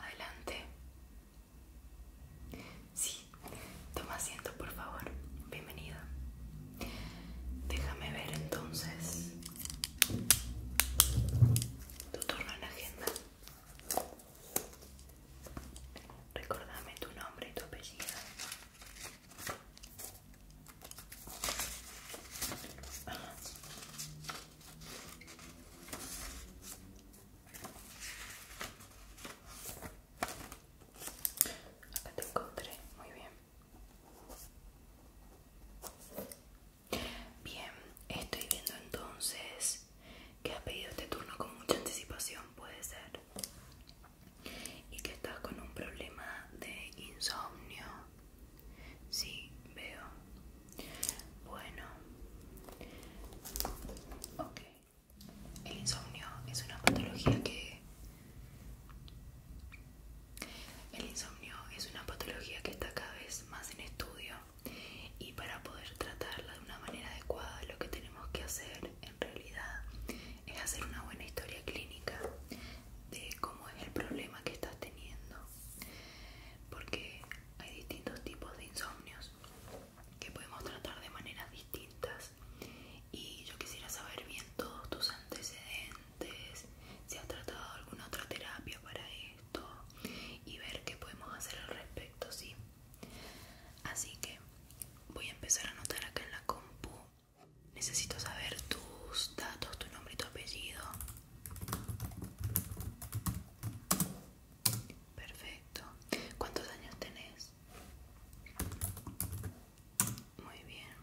Adelante. Sí, toma asiento, por favor. Bienvenida. Déjame ver entonces tu turno en la agenda. Recordame tu nombre y tu apellido. Acá te encontré, muy bien. Bien, estoy viendo entonces que has pedido este turno con mucha anticipación, puede ser, y que estás con un problema de insomnio. Sí, veo. Bueno, ok. El insomnio es una patología que. El insomnio es una patología que está cada vez más en estudio y para poder tratarla de una manera adecuada lo que tenemos que hacer en realidad es hacer una buena historia clínica de cómo es el problema que estás teniendo porque hay distintos tipos de insomnios que podemos tratar de maneras distintas y yo quisiera saber bien todos tus antecedentes si has tratado alguna otra terapia para esto y ver qué podemos hacer al respecto, ¿sí? Así que voy a empezar a anotar acá en la compu. Necesito saber tus datos, tu nombre y tu apellido. Perfecto. ¿Cuántos años tenés? Muy bien.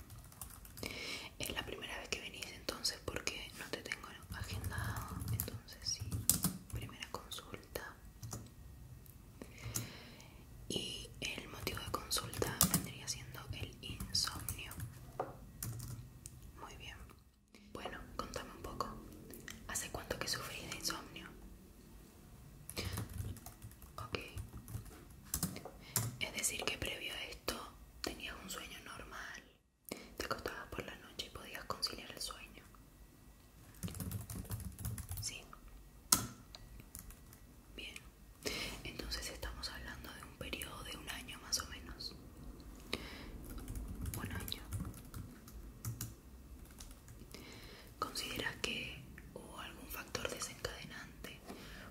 Es la primera vez que venís entonces porque no te tengo agendado. Entonces sí. Primera consulta. Y el motivo de consulta vendría siendo el insomnio. Muy bien. Bueno, contame un poco. ¿Hace cuánto que sufrís de insomnio? Ok. Es decir, que previo a esto tenías un sueño normal. Te acostabas por la noche y podías conciliar el sueño. Sí. Bien. Entonces estamos hablando de un periodo de un año más o menos. Un año. ¿Consideras que hubo algún factor desencadenante?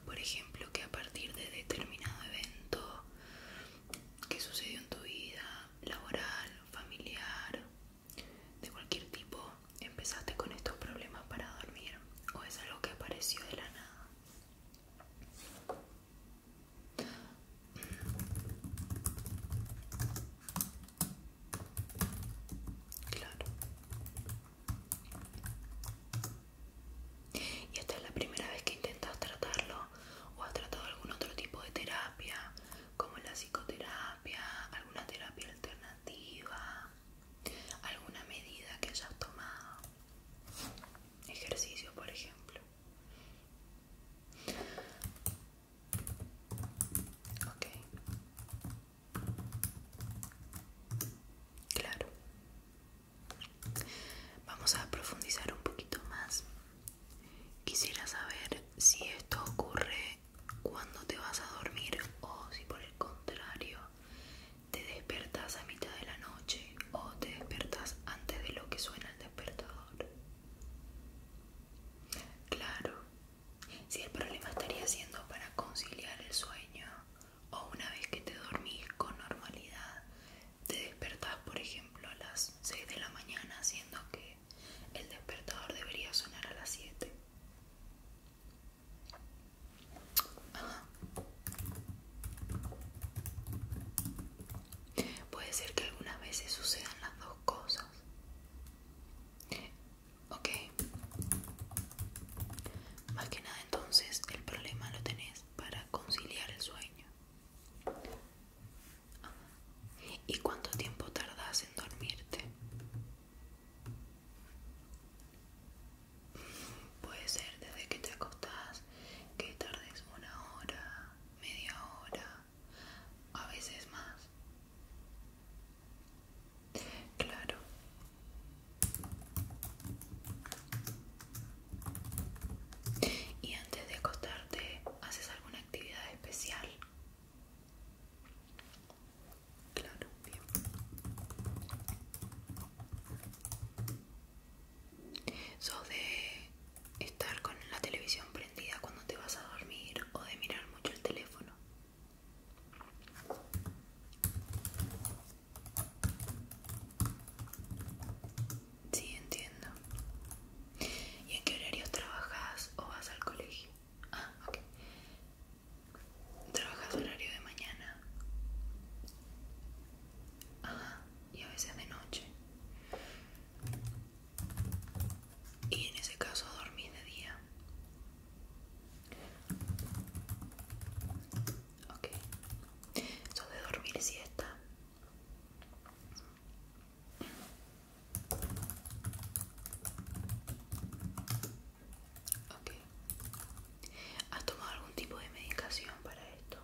Por ejemplo, que a partir de determinado evento que sucedió en tu vida, laboral, familiar, de cualquier tipo, empezaste con estos problemas para dormir o es algo que apareció de la nada. Claro. ¿Y esta es la primera vez que intentas tratarlo? ¿O has tratado algún otro tipo de terapia? como la psicoterapia, alguna terapia alternativa, alguna medida que hayas tomado, ejercicio por ejemplo. Ok. Claro. Vamos a profundizar un poquito más. Quisiera saber si esto ocurre cuando te vas a dormir o si por el contrario te despertas a mitad de la noche o te despertas antes de lo que suena el despertador. Claro, si el problema estaría siendo para conciliar el sueño o una vez que te dormís con normalidad, te despertás por ejemplo a las 6 de la mañana haciendo que el despertador debería sonar a las 7. Puede ser que algunas veces sucedan las dos cosas. Ok. Más que nada entonces el problema lo tenés para conciliar el sueño. ¿Y cuánto tiempo tardas en dormirte? Puede ser desde que te acostás que tardes una hora, media hora, a veces más. Claro. ¿Y antes de acostarte haces alguna actividad especial? Claro, bien. ¿Sos de estar con la televisión prendida cuando te vas a dormir o de mirar mucho el teléfono? Sí, entiendo. ¿Y en qué horarios trabajas o vas al colegio? Ah, ok. ¿Trabajas horario de mañana? y a veces de noche. Y en ese caso dormir de día. Ok. eso de dormir siesta? ¿Has tomado algún tipo de medicación para esto?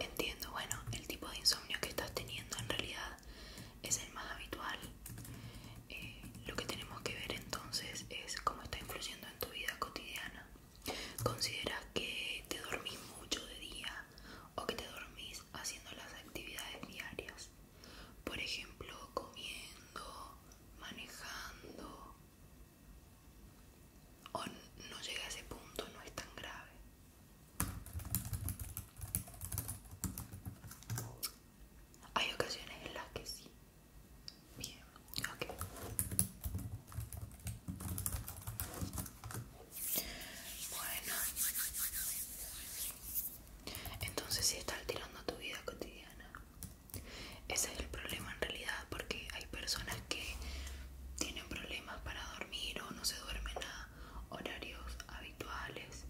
Entiendo, bueno, el tipo de insomnio que estás teniendo en realidad es el más habitual. Eh, lo que tenemos que ver entonces es cómo está influyendo en tu vida cotidiana. ¿Consideras que te dormís mucho de día o que te dormís haciendo las actividades diarias? Por ejemplo, comiendo, manejando. O no llega a ese punto, no es tan grave. Hay ocasiones en las que sí. Bien, ok. Bueno. Entonces si estás alterando tu vida cotidiana. Ese es el problema en realidad porque hay personas que tienen problemas para dormir o no se duermen a horarios habituales,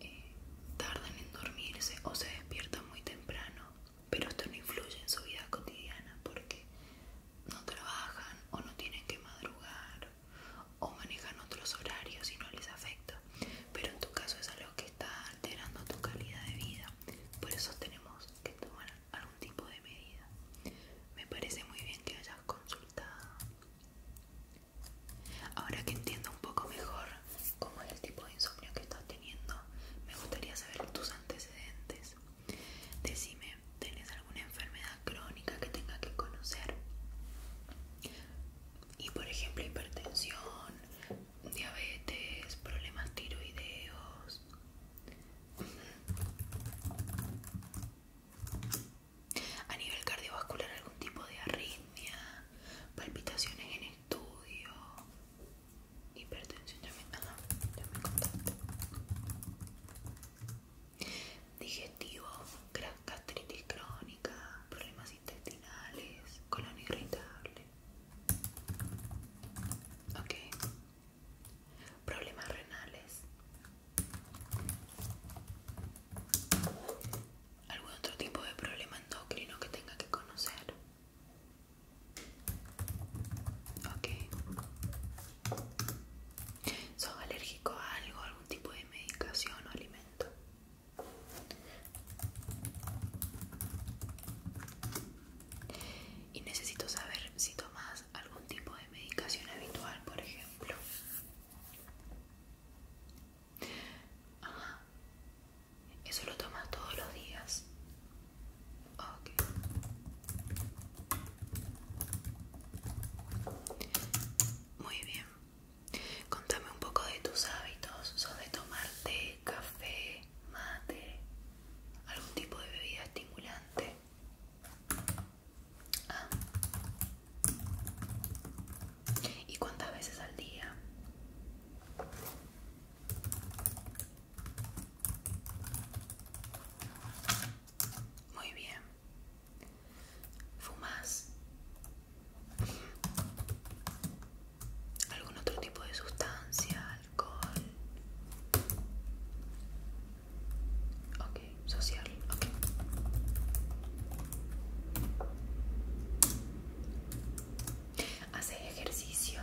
eh, tardan en dormirse o se despiertan muy temprano pero esto no influye en su vida cotidiana porque no trabajan o no tienen que madrugar o manejan otros horarios y no les afecta. Pero en tu caso es algo que está alterando tu calidad de vida. Por eso tenemos que tomar algún tipo de medida. Me parece muy bien que hayas consultado. Ahora que entiendo un poco mejor cómo es el tipo de insomnio que estás me gustaría saber tus antecedentes. Decime, ¿tienes alguna enfermedad crónica que tenga que conocer? Y por ejemplo, hipertensión, diabetes, problemas tiroideos. A nivel cardiovascular, algún tipo de arritmia, palpitaciones en estudio hipertensión, ya me, ya me contaste. Digestivo, gastritis crónica, problemas intestinales, colon irritable. Ok. Problemas renales. ¿Algún otro tipo de problema endocrino que tenga que conocer? Ok. ¿Sos alérgico a algo, algún tipo de medicación o alimento? Y necesito saber si tomas algún tipo de medicación habitual, por ejemplo. Ajá. Eso lo tomas todos los días. Okay. Muy bien. Contame un poco de tus hábitos. ¿Sos de tomar té, café, mate? ¿Algún tipo de bebida estimulante? Ah. ¿Y cuántas veces al día? Muy bien. ¿Fumas? ¿Algún otro tipo de sustancia? ¿Alcohol? Ok, social, ok. ¿Haces ejercicio?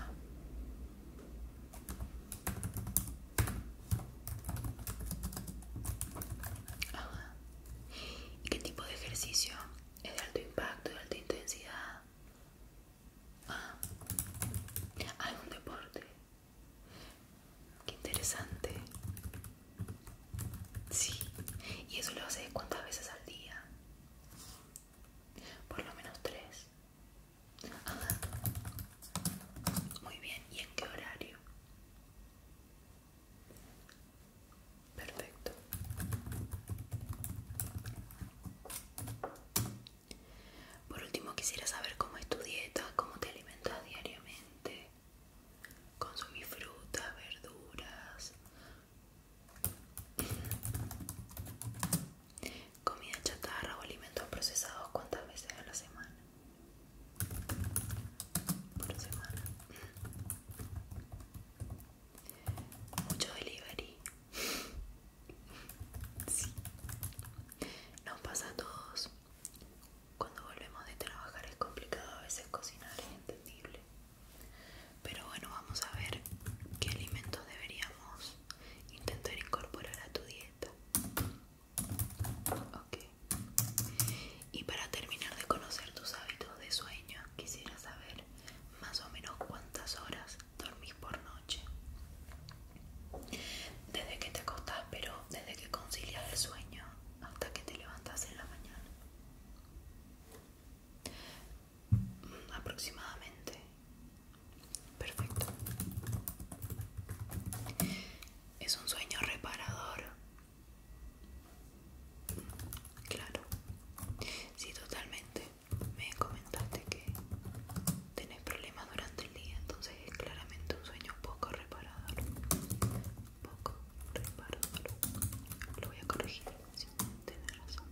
¿Y qué tipo de ejercicio? ¿Es de alto impacto, de alta intensidad? ¿Algún deporte? Qué interesante. Sí. ¿Y eso lo haces cuántas veces al día? Por lo menos tres. Ajá. Muy bien, ¿y en qué horario? Perfecto. Por último, quisiera saber cómo es tu dieta, cómo te alimentas diariamente. Consumís frutas, verduras, Comida chatarra o alimentos procesados, ¿cuántas veces a la semana? Por semana. Mucho delivery. Nos pasa a todos. Cuando volvemos de trabajar es complicado a veces cocinar, es entendible. Pero bueno, vamos a ver qué alimentos deberíamos intentar incorporar a tu dieta. Y para terminar de conocer tus hábitos de sueño, quisiera saber más o menos cuántas horas dormís por noche. Desde que te acostás, pero desde que concilias el sueño hasta que te levantas en la mañana aproximadamente perfecto es un sueño reparador claro si totalmente me comentaste que tenés problemas durante el día entonces es claramente un sueño poco reparador poco reparador lo voy a corregir sin tener razón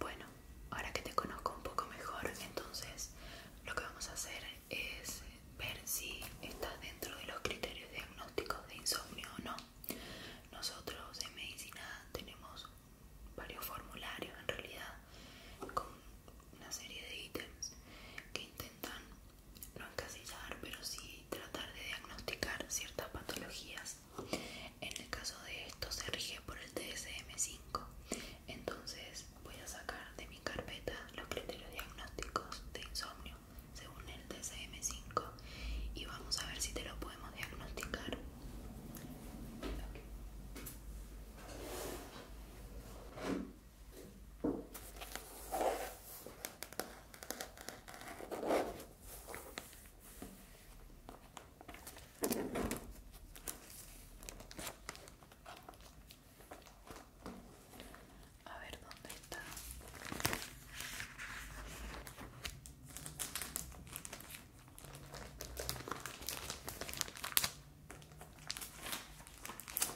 bueno, ahora que te conozco un poco mejor, entonces lo que vamos a hacer es ver si estás dentro de los criterios diagnósticos de insomnio o no. Nosotros en medicina tenemos varios formularios en realidad con una serie de ítems que intentan no encasillar, pero sí tratar de diagnosticar ciertas patologías. En el caso de esto se rige por el tsm 5 entonces voy a sacar de mi carpeta los criterios diagnósticos de insomnio según el DSM-5 y vamos a ver si te lo podemos diagnosticar. A ver dónde está.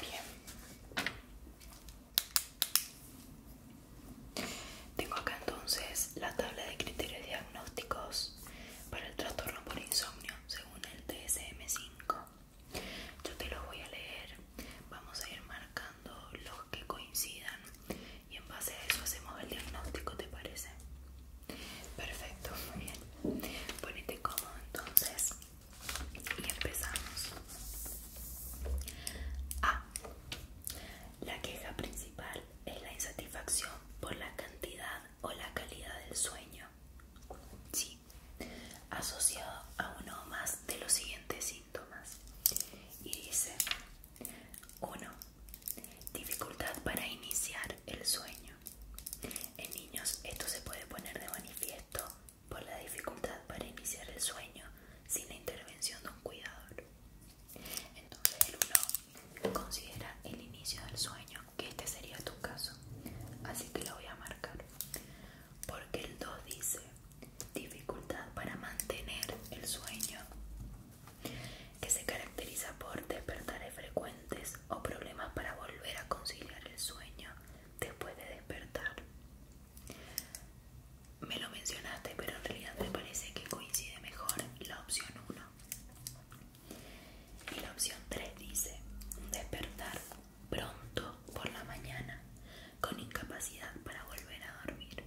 Bien. Tengo acá entonces la tabla de criterios diagnósticos para el trastorno por insomnio según el tsm 5 Yo te lo voy a leer Vamos a ir marcando los que coincidan y en base a eso hacemos el diagnóstico, ¿te parece? Perfecto, muy bien. Ponete cómodo entonces y empezamos. A. La queja principal es la insatisfacción por la cantidad o la calidad del sueño. Sí, asociado a uno o más de los siguientes signos y dice 1. Dificultad para iniciar el sueño. En niños esto se puede poner de manifiesto por la dificultad para iniciar el sueño sin la intervención de un cuidador. Entonces el 1 considera el inicio del sueño, que este sería tu caso, así que lo voy a marcar. Porque el 2 dice dificultad para mantener el sueño, que se caracteriza por despertares frecuentes o problemas para volver a conciliar el sueño después de despertar. Me lo mencionaste, pero en realidad me parece que coincide mejor la opción 1. Y la opción 3 dice despertar pronto por la mañana con incapacidad para volver a dormir.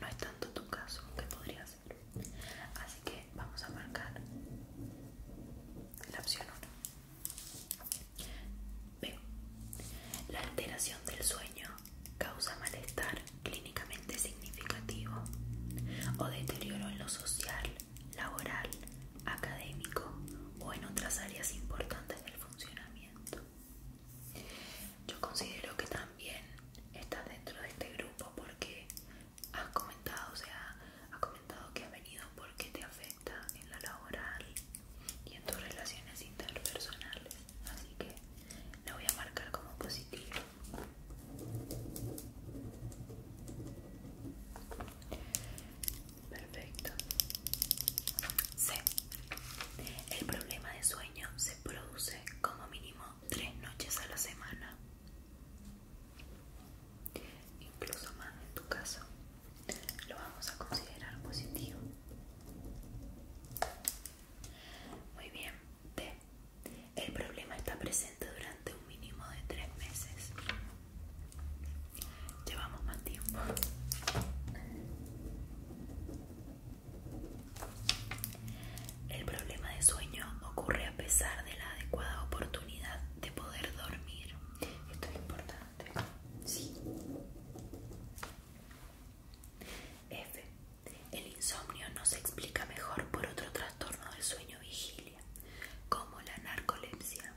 No es tanto tu caso que podría ser. Así que vamos a marcar la opción 1. Veo. La alteración del sueño causa malestar clínicamente significativo o deterioro en lo social, laboral, académico o en otras áreas importantes del funcionamiento. Yo considero que también estás dentro de este grupo porque has comentado, o sea, has comentado que ha venido porque te afecta en la laboral y en tus relaciones interpersonales. Así que la voy a marcar como positivo Perfecto. C. El problema de sueño se produce como mínimo tres noches a la semana. Incluso más en tu caso. Lo vamos a considerar positivo. Muy bien. D. El problema está presente durante un mínimo de tres meses llevamos más tiempo. El problema de sueño ocurre a pesar de la adecuada oportunidad de poder dormir. Esto es importante. Sí. F. El insomnio no se explica mejor por otro trastorno del sueño vigilia, como la narcolepsia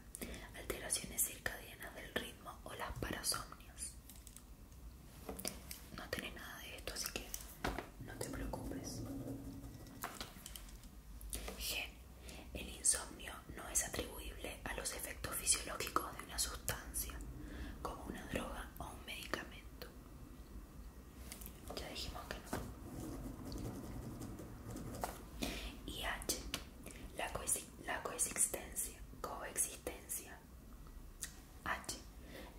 alteraciones circadianas del ritmo o las parasomnias. No tenés nada de esto, así que no te preocupes. G. El insomnio no es atribuible a los efectos fisiológicos de una sustancia, como una droga o un medicamento. Ya dijimos que no. Y H. La cohesión la coexistencia, coexistencia. H.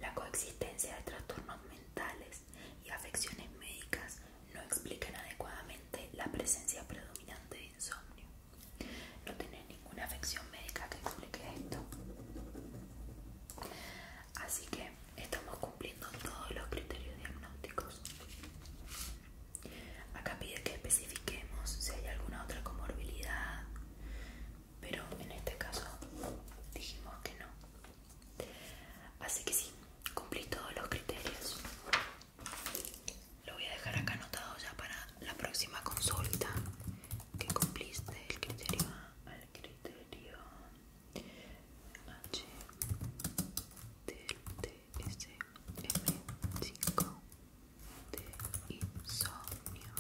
La coexistencia de trastornos mentales y afecciones médicas no explican adecuadamente la presencia predominante de insomnio. No tiene ninguna afección médica que explique esto. Así que estamos cumpliendo todos los criterios diagnósticos. Acá pide que especifiquemos si hay alguna otra comorbilidad, pero en este caso dijimos que no. Así que sí, cumplí todos los criterios. Lo voy a dejar acá anotado ya para la próxima consulta. Que cumpliste el criterio A criterio H del TSM5 de insomnio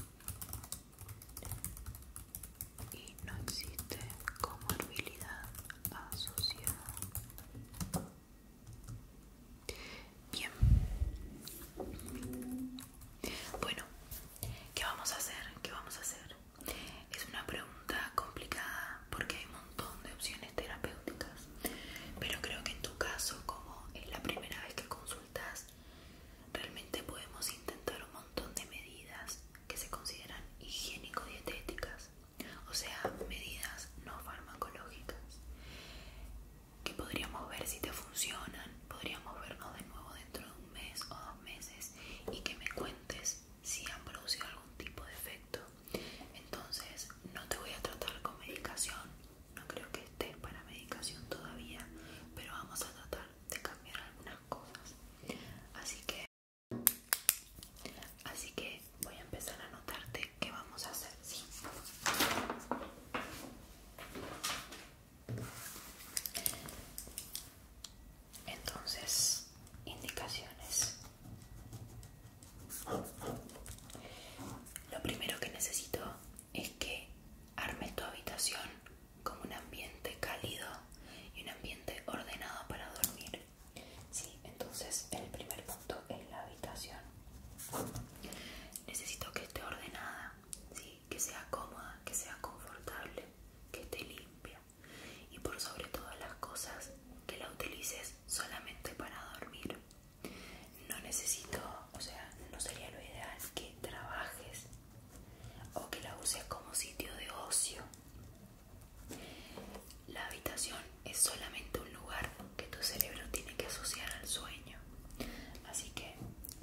y no existe comorbilidad asociada. Bien. Bueno, ¿qué vamos a hacer? ¿Qué vamos a hacer? Es una pregunta complicada porque hay un montón de opciones terapéuticas. Pero creo que en tu caso, como es la primera vez que consultas, realmente podemos intentar un montón de medidas que se consideran higiénico-dietéticas, o sea, medidas no farmacológicas, que podríamos ver si te funcionan, podríamos vernos de nuevo dentro de un mes o dos meses y que me cuentes si han producido algún tipo de efecto. Entonces, no te voy a tratar con medicación, no creo que esté para medicación todavía, pero vamos a tratar de cambiar algunas cosas. Así que, así que voy a empezar a anotarte qué vamos a hacer, ¿sí? Entonces, indicaciones. Lo primero que necesito es que arme tu habitación como un ambiente cálido y un ambiente ordenado para dormir. entonces el primer punto es la habitación. Necesito que esté ordenada, que sea cómoda, que sea confortable, que esté limpia y por sobre todas las cosas que la utilices solamente para dormir no necesito, o sea, no sería lo ideal que trabajes o que la uses como sitio de ocio. La habitación es solamente un lugar que tu cerebro tiene que asociar al sueño. Así que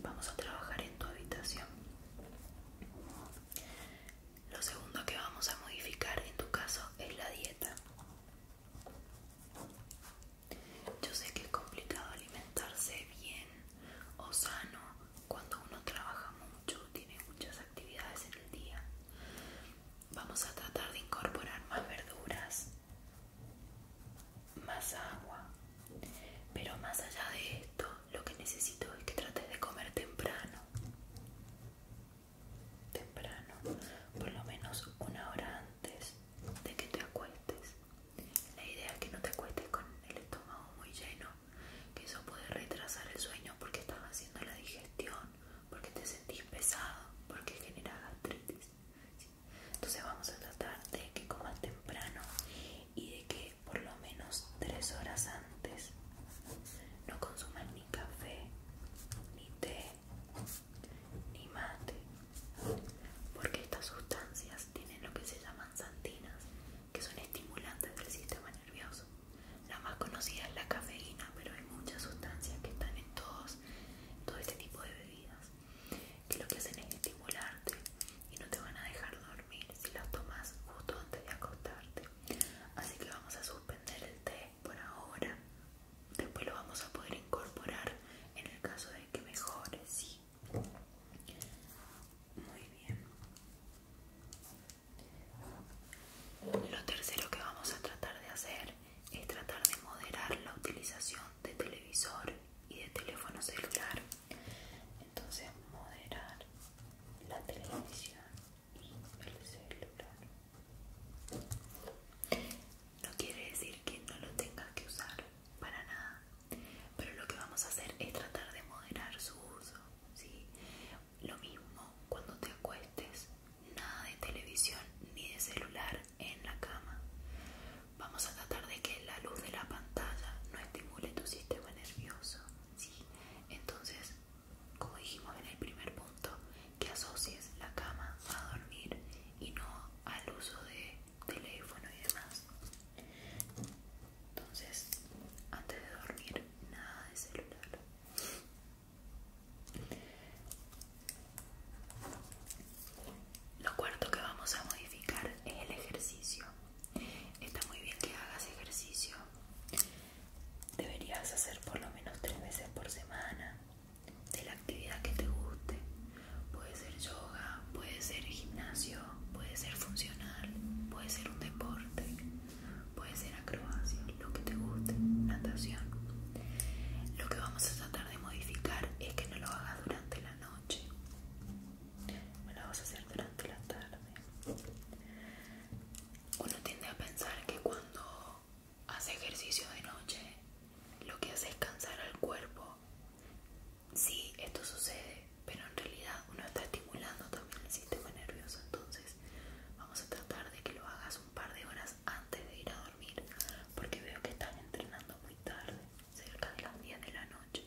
vamos a trabajar en tu habitación. Lo segundo que vamos a modificar en tu caso es la dieta. Yo sé que es complicado alimentarse bien o sano cuando uno trabaja mucho, tiene muchas actividades en el día. Vamos a tratar de incorporar más verduras, más agua. Pero más allá de esto, lo que necesito es que trates de comer temprano. Temprano, por lo menos una hora antes de que te acuestes. La idea es que no te acuestes con el estómago muy lleno, que eso puede retrasar el sueño porque estás haciendo la digestión, porque te sentís pesado, porque genera gastritis. Entonces vamos a tratar de que comas temprano y de que por lo menos tres horas antes no consumas ni café, ni té, ni mate porque estas sustancias tienen lo que se llaman santinas que son estimulantes del sistema nervioso la más conocida es la cafeína pero hay muchas sustancias que están en todos todo este tipo de bebidas que lo que hacen es estimularte y no te van a dejar dormir si las tomas justo antes de acostarte así que vamos a suspender el té por ahora. Después lo vamos a poder incorporar en el caso de que mejore, sí. Muy bien. Lo tercero que vamos a tratar de hacer es tratar de moderar la utilización de televisor y de teléfono celular. Entonces, moderar la televisión y el celular no quiere decir que no lo tengas que usar para nada pero lo que vamos a hacer es tratar de moderar su uso lo mismo cuando te acuestes nada de televisión ni de celular en la cama vamos a tratar de que la luz de la pantalla no estimule tu sistema nervioso entonces como dijimos en el primer punto que asocies la cama a dormir y no al uso de teléfono y demás. Entonces, antes de dormir, nada de celular. Lo cuarto que vamos a modificar es el ejercicio. Está muy bien que hagas ejercicio. Deberías hacer por lo menos tres veces por semana de la actividad que te guste. Puede ser yoga, puede ser gimnasio, puede ser funcional, puede ser un deporte, puede ser acrobacia, lo que te guste, natación. Lo que vamos a tratar de modificar es que no lo hagas durante la noche. No lo vas a hacer durante la tarde. Uno tiende a pensar que cuando hace ejercicio de noche, lo que hace es cansar al cuerpo. Sí, esto sucede, pero en realidad uno está estimulando también el sistema nervioso, entonces vamos a tratar de que lo hagas un par de horas antes de ir a dormir, porque veo que estás entrenando muy tarde, cerca de las 10 de la noche,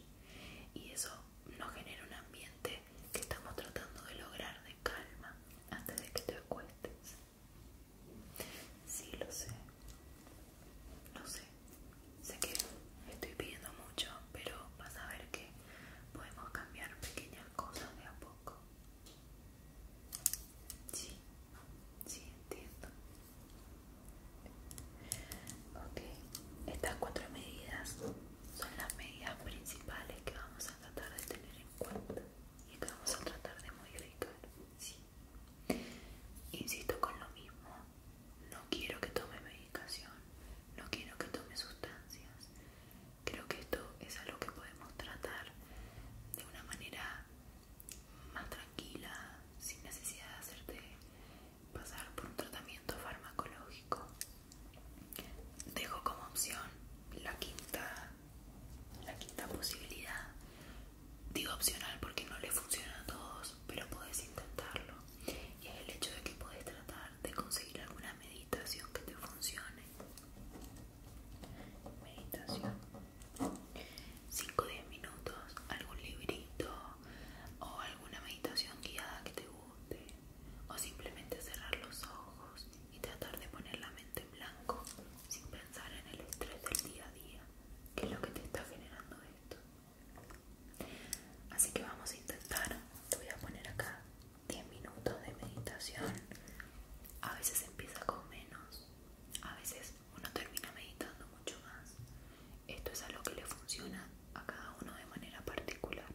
y eso nos genera un ambiente que estamos tratando de lograr de calma antes de que te acuestes. Sí, lo sé. lo sé. Sé que estoy pidiendo mucho, pero vas a ver que podemos cambiar pequeñas cosas de a poco. Sí, sí, entiendo. Ok, estas cuatro medidas son las medidas principales que vamos a tratar de tener en cuenta y que vamos a tratar de modificar. Insisto con lo mismo, no quiero que tome medicación, no quiero que tome sustancias. Creo que esto es algo que podemos tratar de una manera más tranquila, sin necesidad de hacerte pasar por un tratamiento farmacológico. Dejo como opción la quinta la quinta posibilidad, digo opcional porque no le funciona a todos, pero puedes intentarlo. Y es el hecho de que puedes tratar de conseguir alguna meditación que te funcione. Meditación. 5 o 10 minutos, algún librito o alguna meditación guiada que te guste. O simplemente cerrar los ojos y tratar de poner la mente en blanco sin pensar en el estrés del día a día, que es lo que te está generando esto. Así que vamos a intentar, te voy a poner acá 10 minutos de meditación. A veces empieza con menos, a veces uno termina meditando mucho más. Esto es algo que le funciona a cada uno de manera particular.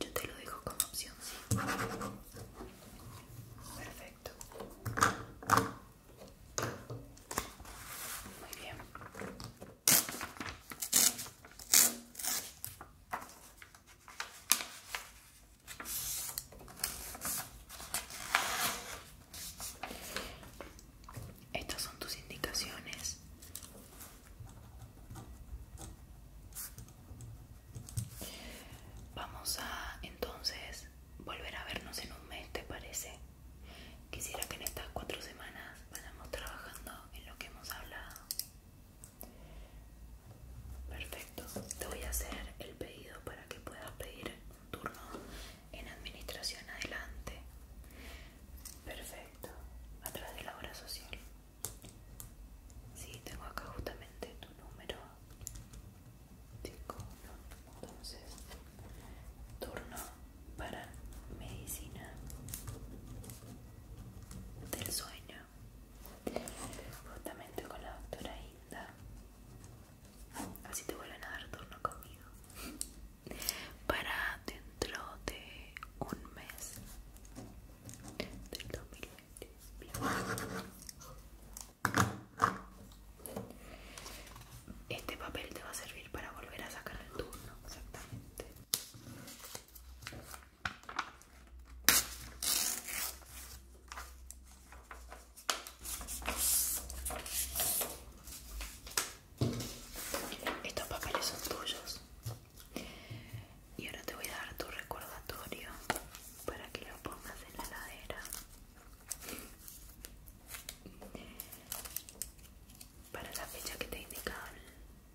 Yo te lo dejo como opción. Perfecto muy bien estas son tus indicaciones Vamos a entonces volver a vernos en un mes, ¿te parece? Quisiera que en estas cuatro semanas vayamos trabajando en lo que hemos hablado. Perfecto. Te voy a hacer el pedido para que puedas pedir un turno en administración adelante. Perfecto. A través de la hora social. Sí, tengo acá justamente tu número. 5, 1. Entonces, turno para medicina del sueño. Justamente con la doctora Inda. Así te vuelven a dar turno conmigo. Para dentro de un mes del 2020. Este papel te va a servir para volver a sacar el turno, exactamente. Estos papeles son tuyos. Y ahora te voy a dar tu recordatorio para que lo pongas en la ladera para la fecha que te indicaron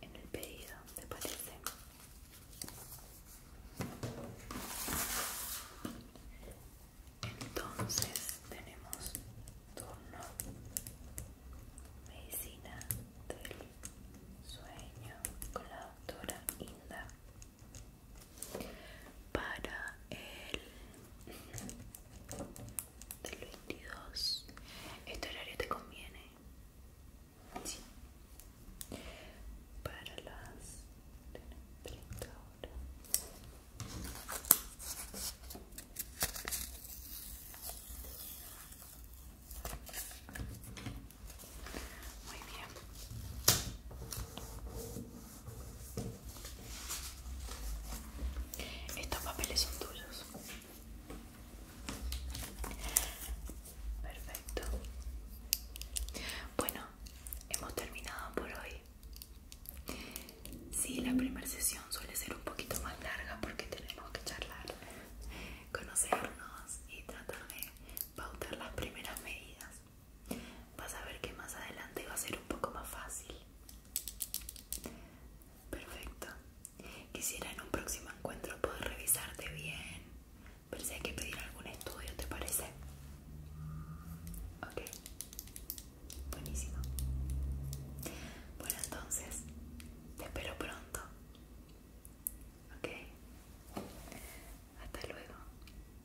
en el pedido, de parece? Entonces tenemos turno medicina del sueño con la doctora Inda para el del 22 este horario te conviene sí para las 30 horas muy bien. Estos papeles son tuyos. Perfecto. Bueno, hemos terminado por hoy. Sí, la primera sesión suele ser un poquito más larga porque tenemos que charlar, conocernos y tratar de pautar las primeras medidas. Vas a ver que más adelante va a ser un poco más fácil. Perfecto. Quisiera en un próximo encuentro poder revisarte bien. Pero si hay que pedir algún estudio, ¿te parece? Ok. Buenísimo. Bueno, entonces, te espero pronto. Ok. Hasta luego.